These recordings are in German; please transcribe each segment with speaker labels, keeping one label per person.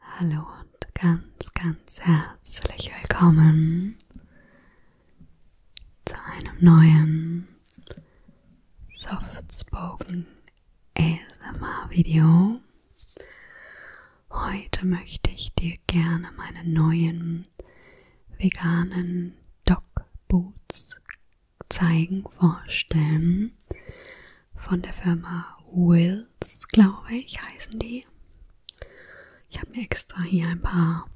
Speaker 1: Hallo und ganz, ganz herzlich willkommen zu einem neuen Softspoken ASMR Video. Heute möchte ich dir gerne meine neuen veganen Dog Boots zeigen, vorstellen von der Firma Will Candles, glaube ich, heißen die. Ich habe mir extra hier ein paar,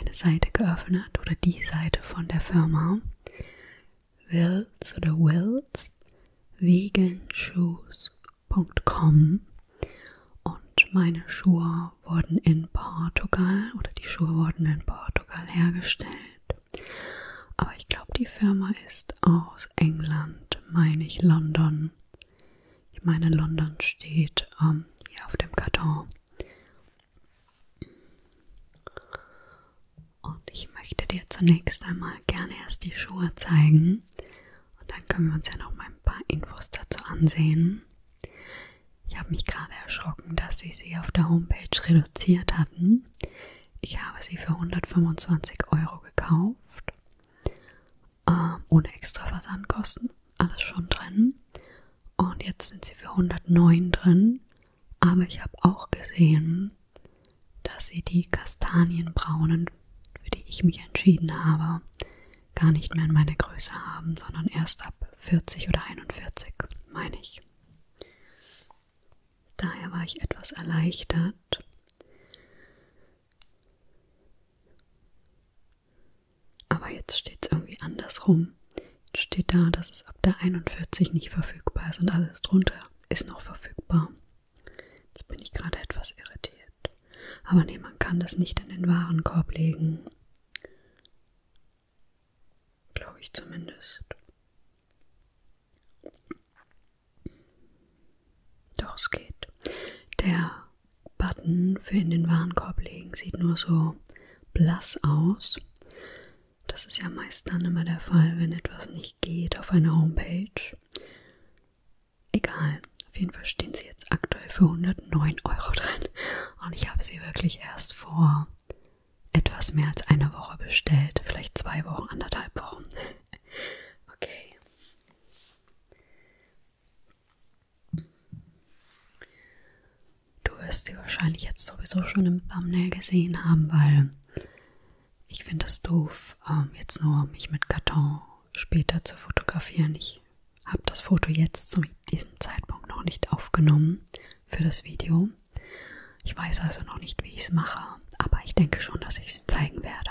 Speaker 1: eine Seite geöffnet oder die Seite von der Firma. Wills oder Wills veganshoes.com und meine Schuhe wurden in Portugal oder die Schuhe wurden in Portugal hergestellt. Aber ich glaube, die Firma ist aus aus England, meine ich London. Ich meine, London steht ähm, hier auf dem Karton. Und ich möchte dir zunächst einmal gerne erst die Schuhe zeigen. Und dann können wir uns ja noch mal ein paar Infos dazu ansehen. Ich habe mich gerade erschrocken, dass sie sie auf der Homepage reduziert hatten. Ich habe sie für 125 Euro gekauft. Ähm, ohne extra Versandkosten. Alles schon drin. Und jetzt sind sie für 109 drin. Aber ich habe auch gesehen, dass sie die Kastanienbraunen, für die ich mich entschieden habe, gar nicht mehr in meiner Größe haben, sondern erst ab 40 oder 41, meine ich. Daher war ich etwas erleichtert. Aber jetzt steht es irgendwie andersrum. Jetzt steht da, dass es ab der 41 nicht verfügbar ist und alles drunter ist noch verfügbar. Jetzt bin ich gerade etwas irritiert. Aber nee, man kann das nicht in den Warenkorb legen. Glaube ich zumindest. Doch es geht. Der Button für in den Warenkorb legen sieht nur so blass aus. Das ist ja meist dann immer der Fall, wenn etwas nicht geht auf einer Homepage. Egal, auf jeden Fall stehen sie jetzt aktuell für 109 Euro drin. Und ich habe sie wirklich erst vor etwas mehr als einer Woche bestellt. Vielleicht zwei Wochen, anderthalb Wochen. Okay. Du wirst sie wahrscheinlich jetzt sowieso schon im Thumbnail gesehen haben, weil ich finde es doof, ähm, jetzt nur mich mit Karton später zu fotografieren. Ich habe das Foto jetzt zu diesem Zeitpunkt noch nicht aufgenommen für das Video. Ich weiß also noch nicht, wie ich es mache, aber ich denke schon, dass ich es zeigen werde.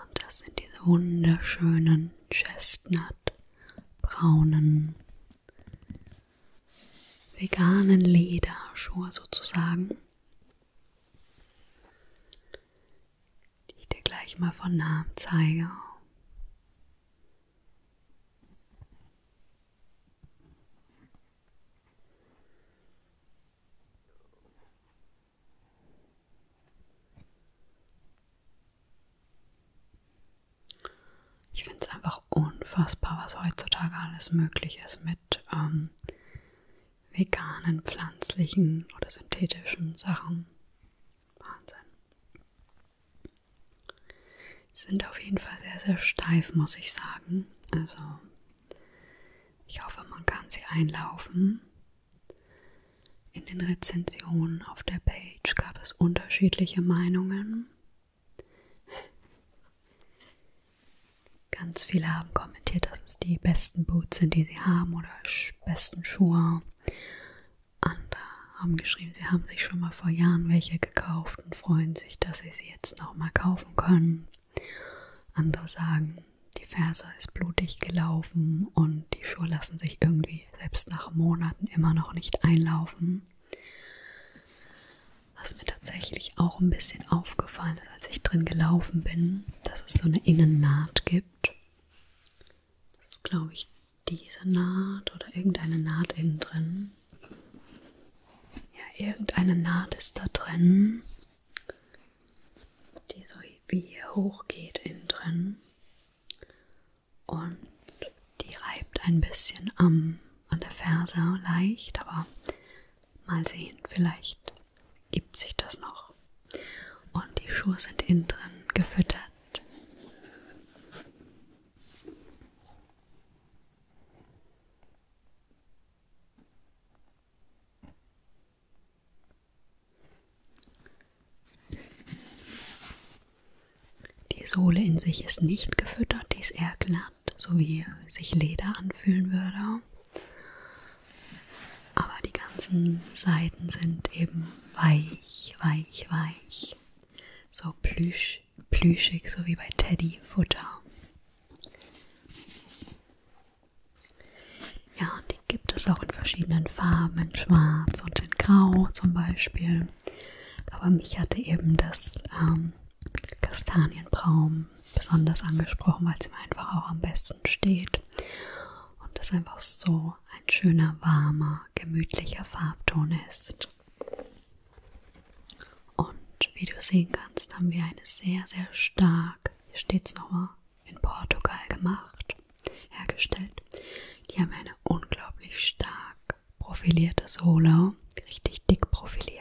Speaker 1: Und das sind diese wunderschönen Chestnut-braunen veganen Lederschuhe sozusagen, die ich dir gleich mal von nahem zeige. Ich finde es einfach unfassbar, was heutzutage alles möglich ist mit ähm, veganen, pflanzlichen oder synthetischen Sachen. Wahnsinn sind auf jeden Fall sehr, sehr steif, muss ich sagen. Also ich hoffe, man kann sie einlaufen. In den Rezensionen auf der Page gab es unterschiedliche Meinungen. Ganz viele haben kommentiert, dass es die besten Boots sind, die sie haben oder besten Schuhe. Andere haben geschrieben, sie haben sich schon mal vor Jahren welche gekauft und freuen sich, dass sie sie jetzt nochmal kaufen können. Andere sagen, die Ferse ist blutig gelaufen und die Schuhe lassen sich irgendwie selbst nach Monaten immer noch nicht einlaufen. Was mir tatsächlich auch ein bisschen aufgefallen ist, als ich drin gelaufen bin, dass es so eine Innennaht gibt. Das ist, glaube ich, diese Naht oder irgendeine Naht innen drin. Ja, irgendeine Naht ist da drin, die so wie hier hoch geht innen drin und die reibt ein bisschen am, an der Ferse leicht, aber mal sehen, vielleicht gibt sich das noch. Und die Schuhe sind innen drin gefüttert. Die Sohle in sich ist nicht gefüttert, die ist eher glatt, so wie sich Leder anfühlen würde. Aber die ganzen Seiten sind eben weich, weich, weich. So plüsch, plüschig, so wie bei Teddy Futter. Ja, die gibt es auch in verschiedenen Farben, in Schwarz und in Grau zum Beispiel. Aber mich hatte eben das ähm, Kastanienbraun besonders angesprochen, weil es mir einfach auch am besten steht. Und das einfach so ein schöner, warmer, gemütlicher Farbton ist. Und wie du sehen kannst, haben wir eine sehr, sehr stark, hier steht es nochmal, in Portugal gemacht, hergestellt. Die haben eine unglaublich stark profilierte Sohle, richtig dick profiliert.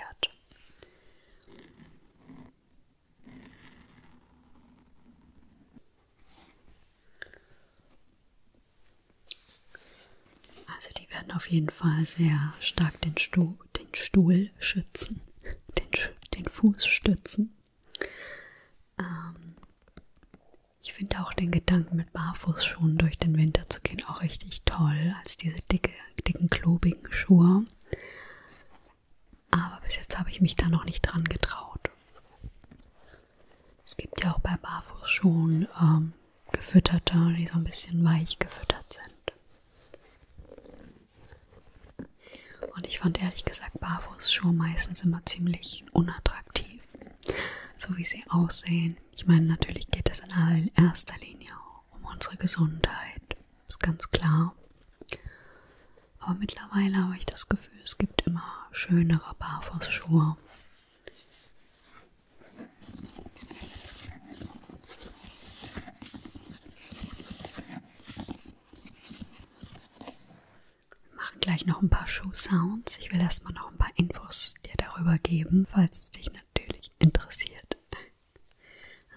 Speaker 1: Also die werden auf jeden Fall sehr stark den Stuhl, den Stuhl Rollschützen, den, den Fuß stützen. Ähm, ich finde auch den Gedanken, mit Barfußschuhen durch den Winter zu gehen, auch richtig toll, als diese dicke, dicken, klobigen Schuhe. Aber bis jetzt habe ich mich da noch nicht dran getraut. Es gibt ja auch bei Barfußschuhen ähm, gefütterte, die so ein bisschen weich gefüttert sind. Und ich fand ehrlich gesagt Barfuß schon meistens immer ziemlich unattraktiv, so wie sie aussehen. Ich meine, natürlich geht es in erster Linie um unsere Gesundheit, ist ganz klar. Aber mittlerweile habe ich das Gefühl, es gibt immer schönere Barfußschuhe. Wir machen gleich noch ein paar Schuh-Sounds. Ich will erstmal noch ein paar Infos dir darüber geben, falls es dich natürlich interessiert.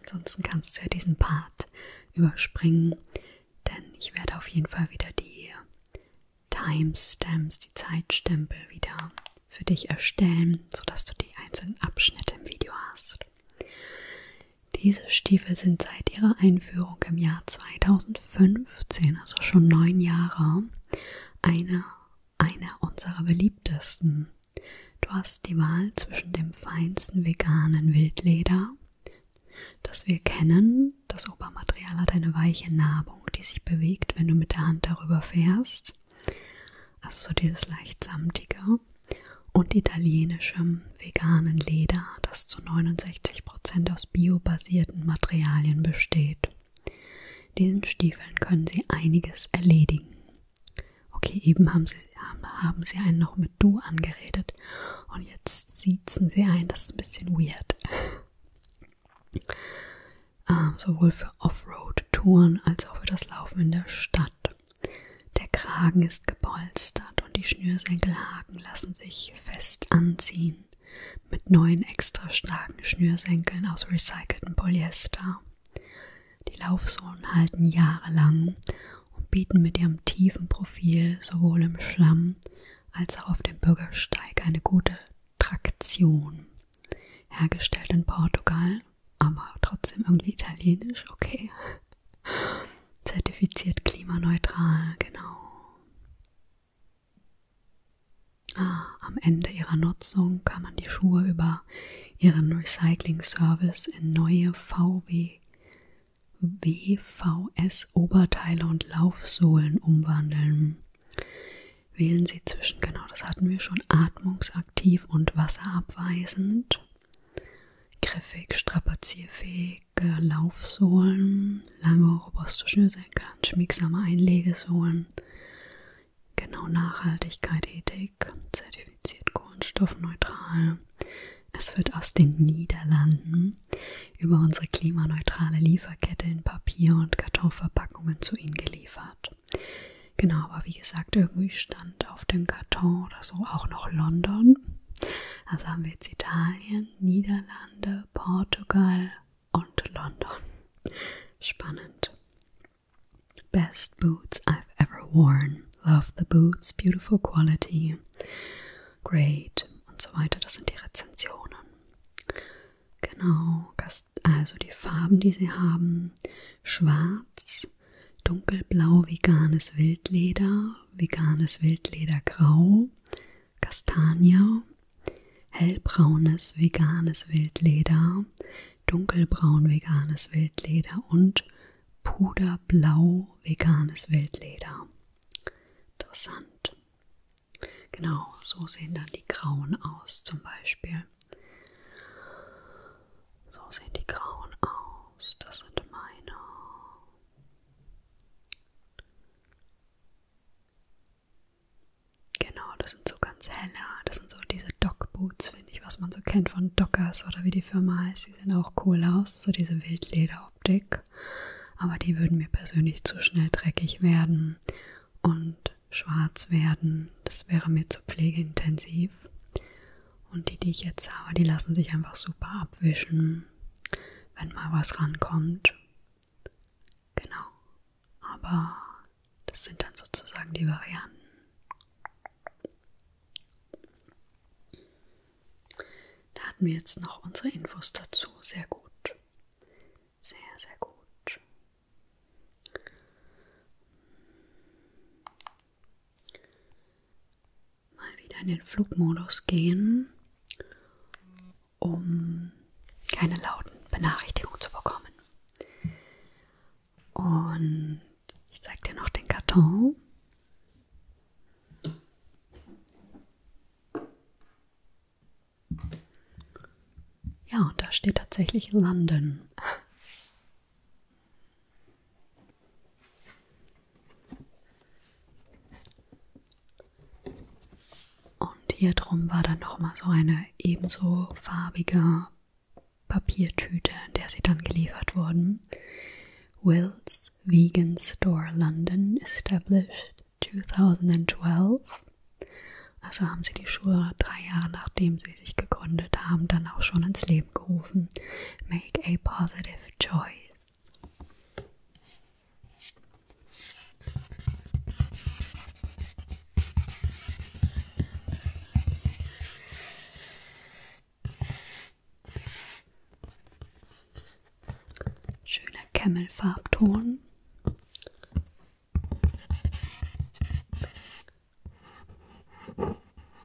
Speaker 1: Ansonsten kannst du ja diesen Part überspringen, denn ich werde auf jeden Fall wieder die Timestamps, die Zeitstempel wieder für dich erstellen, sodass du die einzelnen Abschnitte im Video hast gekauft. Diese Stiefel sind seit ihrer Einführung im Jahr 2015, also schon neun Jahre, einer eine unserer beliebtesten. Du hast die Wahl zwischen dem feinsten veganen Wildleder, das wir kennen, das Obermaterial hat eine weiche Nabung, die sich bewegt, wenn du mit der Hand darüber fährst, also so dieses leicht samtige und italienischem veganen Leder, das zu 69% aus biobasierten Materialien besteht. Diesen Stiefeln können Sie einiges erledigen. Okay, eben haben Sie, haben Sie einen noch mit Du angeredet und jetzt siezen Sie ein, das ist ein bisschen weird. Äh, sowohl für Offroad-Touren als auch für das Laufen in der Stadt. Der Kragen ist gepolstert und die Schnürsenkelhaken lassen sich fest anziehen mit neuen extra starken Schnürsenkeln aus recyceltem Polyester. Die Laufsohlen halten jahrelang und bieten mit ihrem tiefen Profil sowohl im Schlamm als auch auf dem Bürgersteig eine gute Traktion. Hergestellt in Portugal aber trotzdem irgendwie italienisch, okay. Zertifiziert klimaneutral, genau. Ah, am Ende ihrer Nutzung kann man die Schuhe über ihren Recycling-Service in neue VW, WVS-Oberteile und Laufsohlen umwandeln. Wählen Sie zwischen, genau das hatten wir schon, atmungsaktiv und wasserabweisend. Griffig, strapazierfähige Laufsohlen, lange robuste Schnürsenkel, schmiegsame Einlegesohlen, genau Nachhaltigkeit, Ethik, zertifiziert kohlenstoffneutral. Es wird aus den Niederlanden über unsere klimaneutrale Lieferkette in Papier- und Kartonverpackungen zu Ihnen geliefert. Genau, aber wie gesagt, irgendwie stand auf dem Karton oder so auch noch London. Also haben wir jetzt Italien, Niederlande, Portugal und London. Spannend. Best boots I've ever worn. Love the boots, beautiful quality. Great und so weiter. Das sind die Rezensionen. Genau, also die Farben, die sie haben. Schwarz, ist dunkelblau veganes Wildleder, veganes Wildledergrau, Kastanie, hellbraunes veganes Wildleder, dunkelbraun veganes Wildleder und puderblau veganes Wildleder. Interessant. Genau, so sehen dann die grauen aus zum Beispiel. So sehen die grauen aus. Das sind meine. Genau, das sind so ganz helle. Das sind so diese Dock-Boots, finde ich, was man so kennt von Dockers oder wie die Firma heißt. Die sehen auch cool aus. So diese Wildlederoptik. Aber die würden mir persönlich zu schnell dreckig werden und schwarz werden. Das wäre mir zu pflegeintensiv. Und die, die ich jetzt habe, die lassen sich einfach super abwischen, wenn mal was rankommt. Genau. Aber das sind dann sozusagen die Varianten. Da hatten wir jetzt noch unsere Infos dazu. Sehr gut. Sehr, sehr gut mal wieder in den Flugmodus gehen, um keine lauten Benachrichtigungen zu bekommen. Und ich zeige dir noch den Karton. Ja, und da steht tatsächlich London. Und hier drum war dann nochmal so eine ebenso farbige Papiertüte, in der sie dann geliefert wurden. Will's Vegan Store London established 2012. Also haben sie die Schuhe drei Jahre nachdem sie sich gegründet haben, dann auch schon ins Leben gerufen. Make a positive choice. Schöner Kämmelfarbton.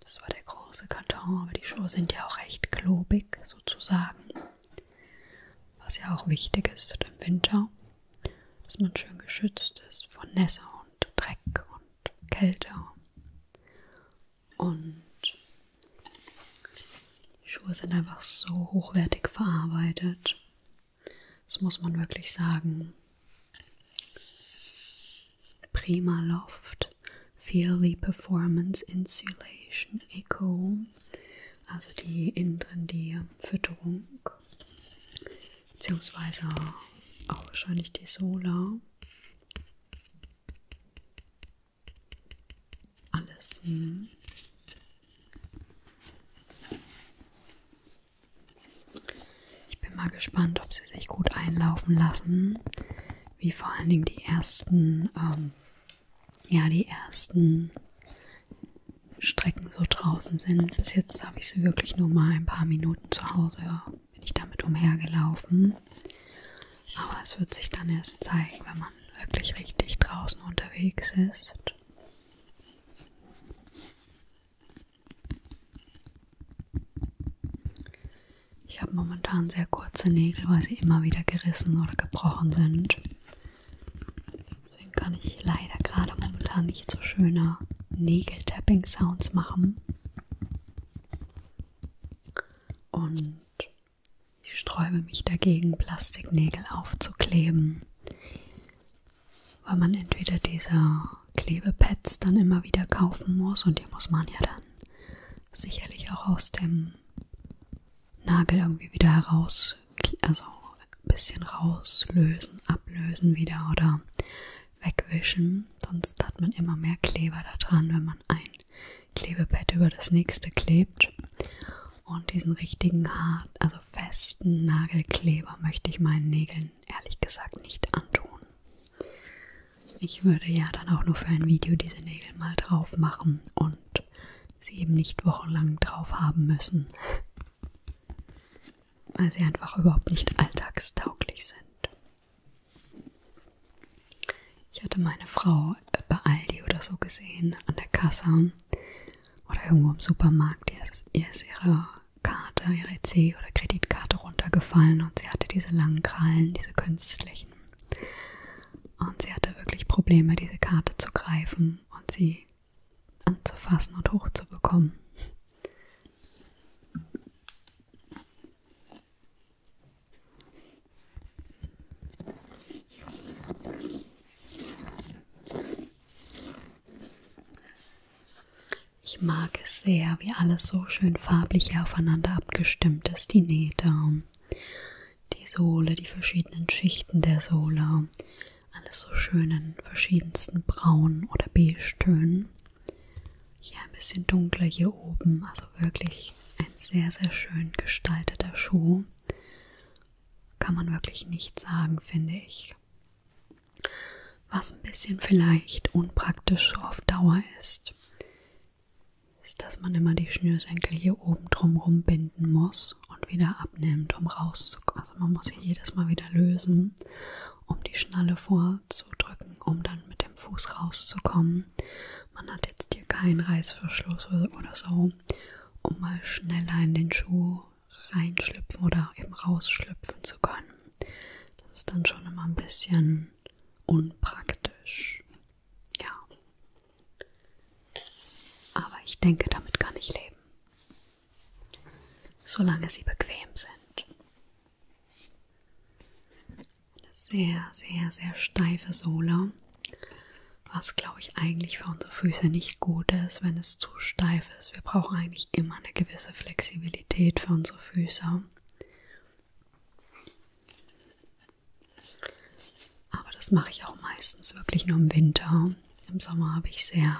Speaker 1: Das war der große Karton, aber die Schuhe sind ja auch recht klobig sozusagen. Was ja auch wichtig ist im Winter, dass man schön geschützt ist von Nässe und Dreck und Kälte. Und die Schuhe sind einfach so hochwertig verarbeitet. Das muss man wirklich sagen. Prima Loft, Feely Performance Insulation Eco, also die innen drin die Fütterung, beziehungsweise auch wahrscheinlich die Solar. Alles. Hm. Ich bin mal gespannt, ob sie sich gut einlaufen lassen, wie vor allen Dingen die ersten, ähm, ja, die ersten Strecken so draußen sind. Bis jetzt habe ich sie wirklich nur mal ein paar Minuten zu Hause, bin ich damit umhergelaufen. Aber es wird sich dann erst zeigen, wenn man wirklich richtig draußen unterwegs ist. Ich habe momentan sehr kurze Nägel, weil sie immer wieder gerissen oder gebrochen sind. Deswegen kann ich leider gerade momentan nicht so schöne Nägel-Tapping-Sounds machen. Und ich sträube mich dagegen, Plastiknägel aufzukleben weil man entweder diese Klebepads dann immer wieder kaufen muss und die muss man ja dann sicherlich auch aus dem Nagel irgendwie wieder heraus, also ein bisschen rauslösen, ablösen wieder oder wegwischen. Sonst hat man immer mehr Kleber da dran, wenn man ein Klebepad über das nächste klebt. Und diesen richtigen hart, also festen Nagelkleber möchte ich meinen Nägeln ehrlich gesagt nicht antun. Ich würde ja dann auch nur für ein Video diese Nägel mal drauf machen und sie eben nicht wochenlang drauf haben müssen, weil sie einfach überhaupt nicht alltagstauglich sind. Ich hatte meine Frau bei Aldi oder so gesehen, an der Kasse oder irgendwo im Supermarkt. Ihr ist, ihr ist ihre Karte, ihre EC- oder Kreditkarte runtergefallen und sie hatte diese langen Krallen, diese künstlichen. Und sie hatte wirklich Probleme, diese Karte zu greifen und sie anzufassen und hochzubekommen. Ich mag es sehr, wie alles so schön farblich aufeinander abgestimmt ist. Die Nähte, die Sohle, die verschiedenen Schichten der Sohle. Alles so schön in verschiedensten braunen oder beige Tönen. Hier ein bisschen dunkler hier oben. Also wirklich ein sehr, sehr schön gestalteter Schuh. Kann man wirklich nicht sagen, finde ich. Was ein bisschen vielleicht unpraktisch auf Dauer ist, ist, dass man immer die Schnürsenkel hier oben drumherum binden muss und wieder abnimmt, um rauszukommen. Also man muss sie jedes Mal wieder lösen, um die Schnalle vorzudrücken, um dann mit dem Fuß rauszukommen. Man hat jetzt hier keinen Reißverschluss oder so, um mal schneller in den Schuh reinschlüpfen oder eben rausschlüpfen zu können. Das ist dann schon immer ein bisschen unpraktisch. Ja. Aber ich denke, damit kann ich leben. Solange sie bequem sind. Eine sehr, sehr, sehr steife Sohle. Was glaube ich eigentlich für unsere Füße nicht gut ist, wenn es zu steif ist. Wir brauchen eigentlich immer eine gewisse Flexibilität. Stabilität für unsere Füße. Aber das mache ich auch meistens wirklich nur im Winter. Im Sommer habe ich sehr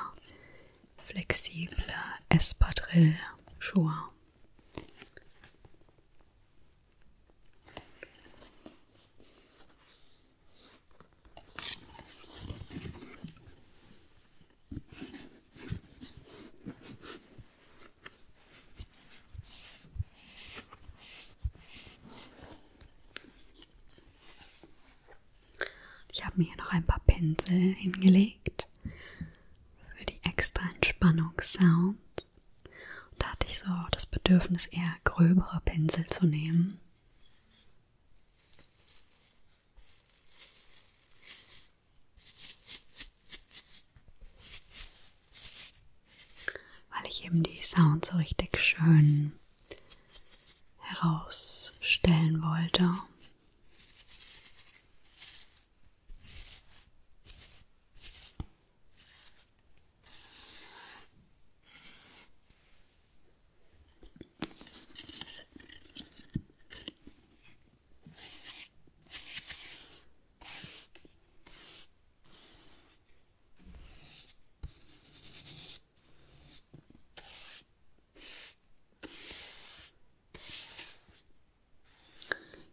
Speaker 1: flexible Espadrille-Schuhe. Ich habe mir hier noch ein paar Pinsel hingelegt für die extra Entspannungssound. Da hatte ich so das Bedürfnis, eher gröbere Pinsel zu nehmen. Weil ich eben die Sounds so richtig schön herausstellen wollte.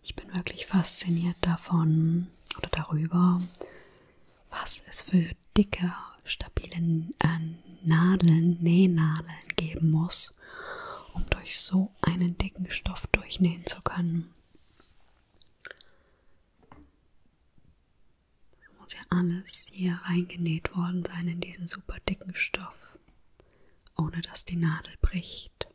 Speaker 1: Ich bin wirklich fasziniert davon oder darüber, was es für dicke, stabile äh, Nadeln, Nähnadeln geben muss, muss, um durch so einen dicken Stoff durchnähen zu können. Das muss ja alles hier reingenäht worden sein in diesen super dicken Stoff, ohne dass die Nadel bricht.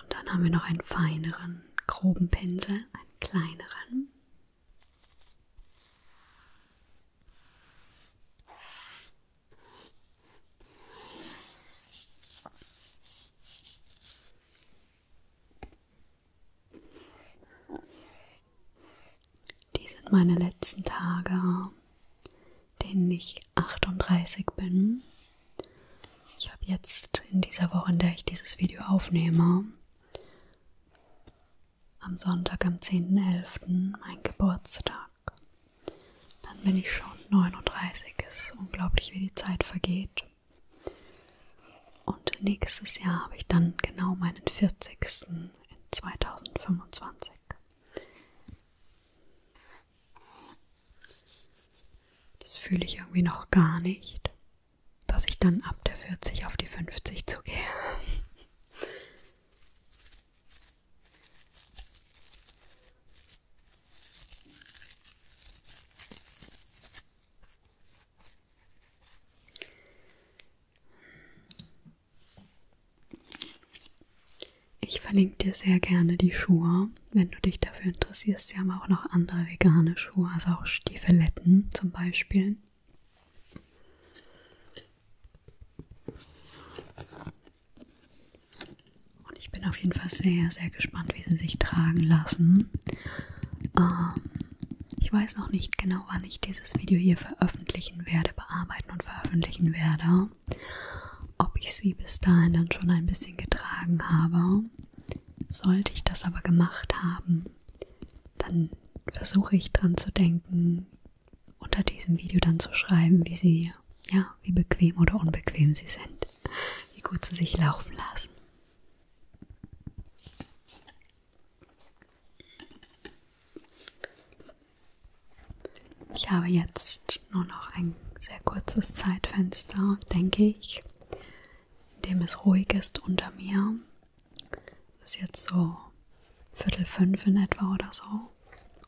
Speaker 1: Und dann haben wir noch einen feineren, groben Pinsel, einen kleineren. Dies sind meine letzten Tage, denen ich 38 bin. Ich habe jetzt in dieser Woche, in der ich dieses Video aufnehme, am Sonntag, am 10.11., mein Geburtstag. Dann bin ich schon 39. Es ist unglaublich, wie die Zeit vergeht. Und nächstes Jahr habe ich dann genau meinen 40. in 2025. Das fühle ich irgendwie noch gar nicht, dass ich dann ab der 40 auf die 50 zugehe. Ich verlinke dir sehr gerne die Schuhe. Wenn du dich dafür interessierst, sie haben auch noch andere vegane Schuhe, also auch Stiefeletten zum Beispiel. Und ich bin auf jeden Fall sehr, sehr gespannt, wie sie sich tragen lassen. Ähm, ich weiß noch nicht genau, wann ich dieses Video hier veröffentlichen werde, bearbeiten und veröffentlichen werde. Ob ich sie bis dahin dann schon ein bisschen getragen habe. Sollte ich das aber gemacht haben, dann versuche ich dran zu denken, unter diesem Video dann zu schreiben, wie sie, ja, wie bequem oder unbequem sie sind, wie gut sie sich laufen lassen. Ich habe jetzt nur noch ein sehr kurzes Zeitfenster, denke ich, in dem es ruhig ist unter mir. Es ist jetzt so Viertel fünf in etwa oder so.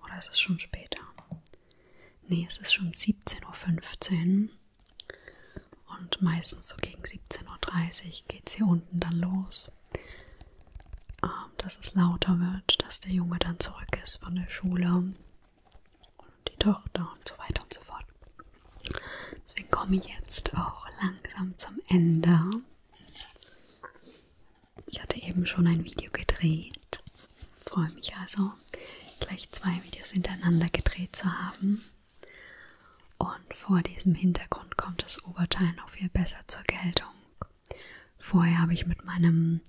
Speaker 1: Oder ist es schon später? Nee, es ist schon 17.15 Uhr. Und meistens so gegen 17.30 Uhr geht es hier unten dann los muss, ähm, dass es lauter wird, dass der Junge dann zurück ist von der Schule und die Tochter und so weiter und so fort. Deswegen komme ich jetzt auch langsam zum Ende. Ich hatte eben schon ein Video gedreht. Freue mich also, gleich zwei Videos hintereinander gedreht zu haben. Und vor diesem Hintergrund kommt das Oberteil noch viel besser zur Geltung. Vorher habe ich mit meinem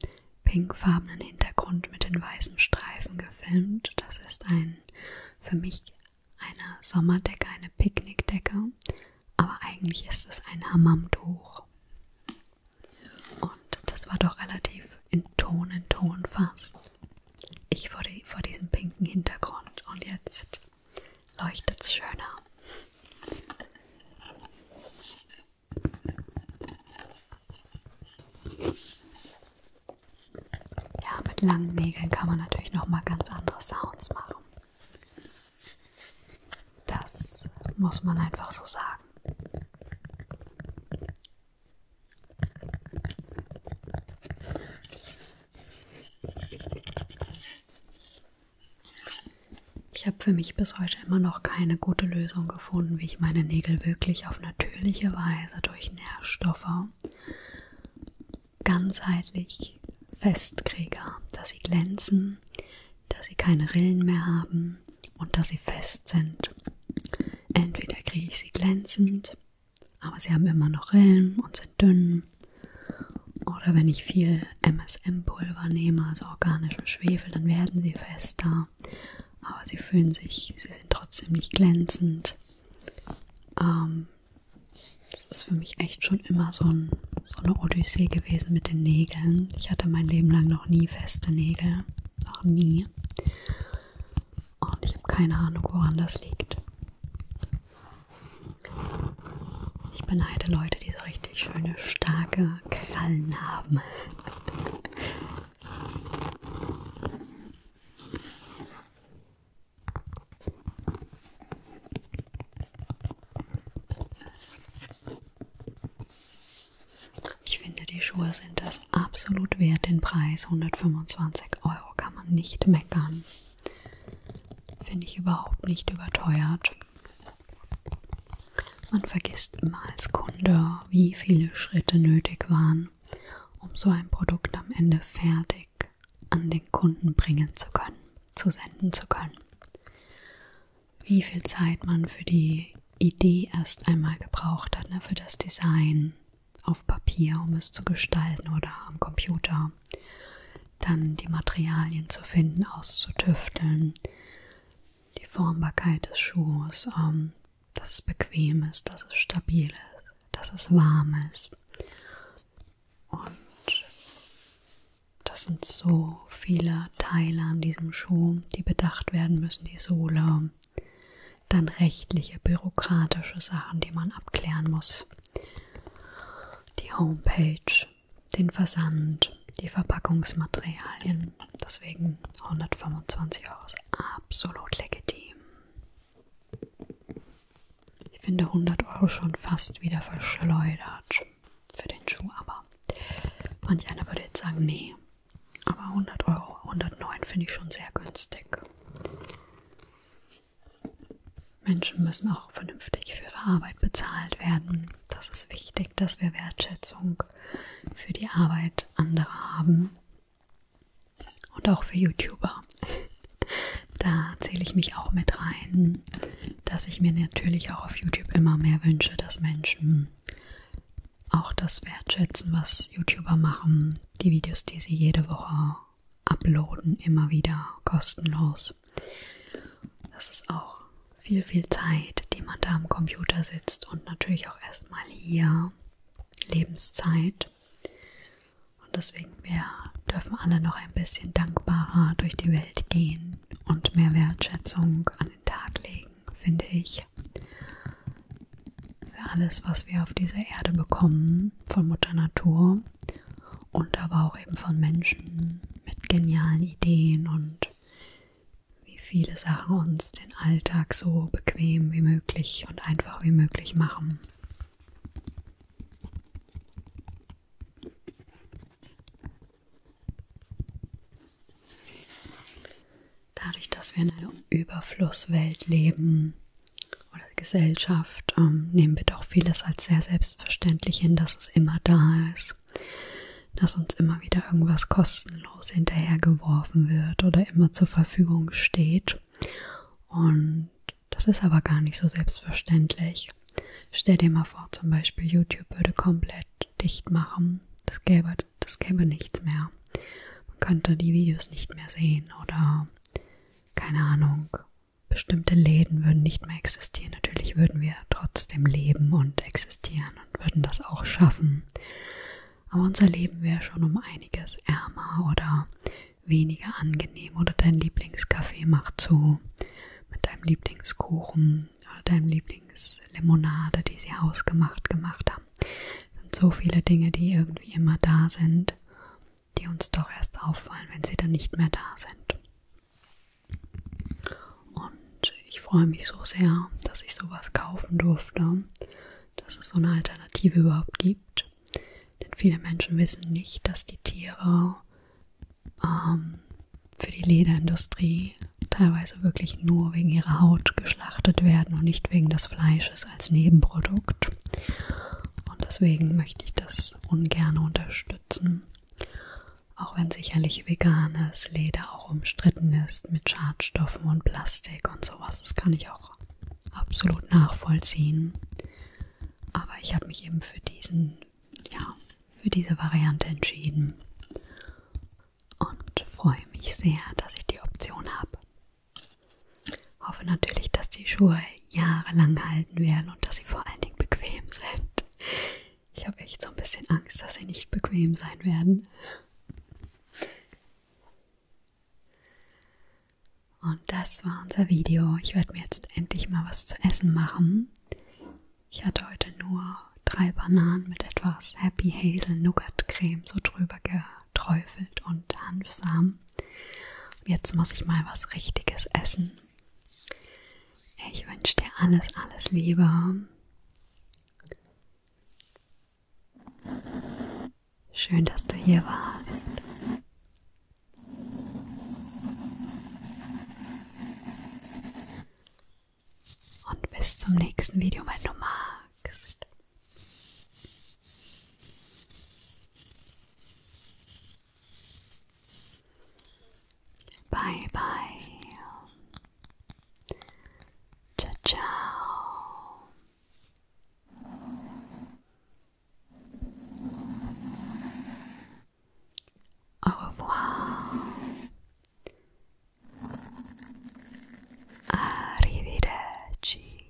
Speaker 1: pinkfarbenen Hintergrund mit den weißen Streifen gefilmt. Das ist ein für mich eine Sommerdecke, eine Picknickdecke, aber eigentlich ist es ein Hammamtuch. Und das war doch relativ in Ton in Ton fast. Ich vor, die, vor diesem pinken Hintergrund und jetzt leuchtet's schöner. Ja, mit langen Nägeln kann man natürlich noch mal ganz andere Sounds machen. Das muss man einfach so sagen. Ich habe für mich bis heute immer noch keine gute Lösung gefunden, wie ich meine Nägel wirklich auf natürliche Weise durch Nährstoffe ganzheitlich festkriege, dass sie glänzen, dass sie keine Rillen mehr haben und dass sie fest sind. Entweder kriege ich sie glänzend, aber sie haben immer noch Rillen und sind dünn nehme oder wenn ich viel MSM-Pulver nehme, also organischen Schwefel, dann werden sie fester, aber sie fühlen sich, sie sind trotzdem nicht glänzend. Ähm, das ist für mich echt schon immer so, ein, so eine Odyssee gewesen mit den Nägeln. Ich hatte mein Leben lang noch nie feste Nägel, noch nie. Und ich habe keine Ahnung, woran das liegt. Ich beneide Leute, die so richtig schöne, starke Krallen haben. Ich finde, die Schuhe sind das absolut wert, den Preis 125 Euro kann man nicht meckern. Finde ich überhaupt nicht überteuert. Man vergisst immer als Kunde, wie viele Schritte nötig waren, um so ein Produkt am Ende fertig an den Kunden bringen zu können, zu senden zu können. Wie viel Zeit man für die Idee erst einmal gebraucht hat, ne, für das Design auf Papier, um es zu gestalten oder am Computer war, dann die Materialien zu finden, auszutüfteln, die Formbarkeit des Schuhs, ähm, dass es bequem ist, dass es stabil ist, dass es warm ist. Und das sind so viele Teile an diesem Schuh, die bedacht werden müssen, die Sohle, dann rechtliche, bürokratische Sachen, die man abklären muss, die Homepage, den Versand, die Verpackungsmaterialien. Deswegen 125 Euro ist absolut legitim. Ich finde 100 Euro schon fast wieder verschleudert für den Schuh, aber manch einer würde jetzt sagen, nee. Aber 100 Euro, 109 finde ich schon sehr günstig. Menschen müssen auch vernünftig für ihre Arbeit bezahlt werden. Das ist wichtig, dass wir Wertschätzung für die Arbeit anderer haben. Und auch für YouTuber. Da zähle ich mich auch mit rein, dass ich mir natürlich auch auf YouTube immer mehr wünsche, dass Menschen auch das wertschätzen, was YouTuber machen. Die Videos, die sie jede Woche uploaden, immer wieder kostenlos muss. Das ist auch viel, viel Zeit, die man da am Computer sitzt und natürlich auch erstmal hier Lebenszeit. Und deswegen, wir dürfen alle noch ein bisschen dankbarer durch die Welt gehen und mehr Wertschätzung an den Tag legen, finde ich. Für alles, was wir auf dieser Erde bekommen, von Mutter Natur und aber auch eben von Menschen mit genialen Ideen und wie viele Sachen uns den Alltag so bequem wie möglich und einfach wie möglich machen. Dadurch, dass wir in einer Überflusswelt leben oder Gesellschaft, ähm, nehmen wir doch vieles als sehr selbstverständlich hin, dass es immer da ist, dass uns immer wieder irgendwas kostenlos hinterhergeworfen wird oder immer zur Verfügung steht. Und das ist aber gar nicht so selbstverständlich. Stell dir mal vor, zum Beispiel YouTube würde komplett dicht machen. Das gäbe, das gäbe nichts mehr. Man könnte die Videos nicht mehr sehen oder keine Ahnung, Bestimmte Läden würden nicht mehr existieren. Natürlich würden wir trotzdem leben und existieren und würden das auch schaffen. Aber unser Leben wäre schon um einiges ärmer oder weniger angenehm. Oder dein Lieblingskaffee macht zu mit deinem Lieblingskuchen oder deinem Lieblingslimonade, die sie hausgemacht gemacht haben. Das sind so viele Dinge, die irgendwie immer da sind, die uns doch erst auffallen, wenn sie dann nicht mehr da sind. Und ich freue mich so sehr, dass ich sowas kaufen durfte, dass es so eine Alternative überhaupt gibt. Denn viele Menschen wissen nicht, dass die Tiere ähm, für die Lederindustrie teilweise wirklich nur wegen ihrer Haut geschlachtet werden und nicht wegen des Fleisches als Nebenprodukt. Und deswegen möchte ich das ungern unterstützen auch wenn sicherlich veganes Leder auch umstritten ist mit Schadstoffen und Plastik und sowas. Das kann ich auch absolut nachvollziehen. Aber ich habe mich eben für diesen, ja, für diese Variante entschieden und freue mich sehr, dass ich die Option habe. Hoffe natürlich, dass die Schuhe jahrelang halten werden und dass sie vor allen Dingen bequem sind. Ich habe echt so ein bisschen Angst, dass sie nicht bequem sein werden. Und das war unser Video. Ich werde mir jetzt endlich mal was zu essen machen. Ich hatte heute nur drei Bananen mit etwas Happy Hazel Nougat Creme so drüber geträufelt und Hanfsamen. Jetzt muss ich mal was Richtiges essen. Ich wünsche dir alles, alles Liebe. Schön, dass du hier warst. Und bis zum nächsten Video, wenn du magst. Bye bye. Ciao Au revoir. Arrivederci.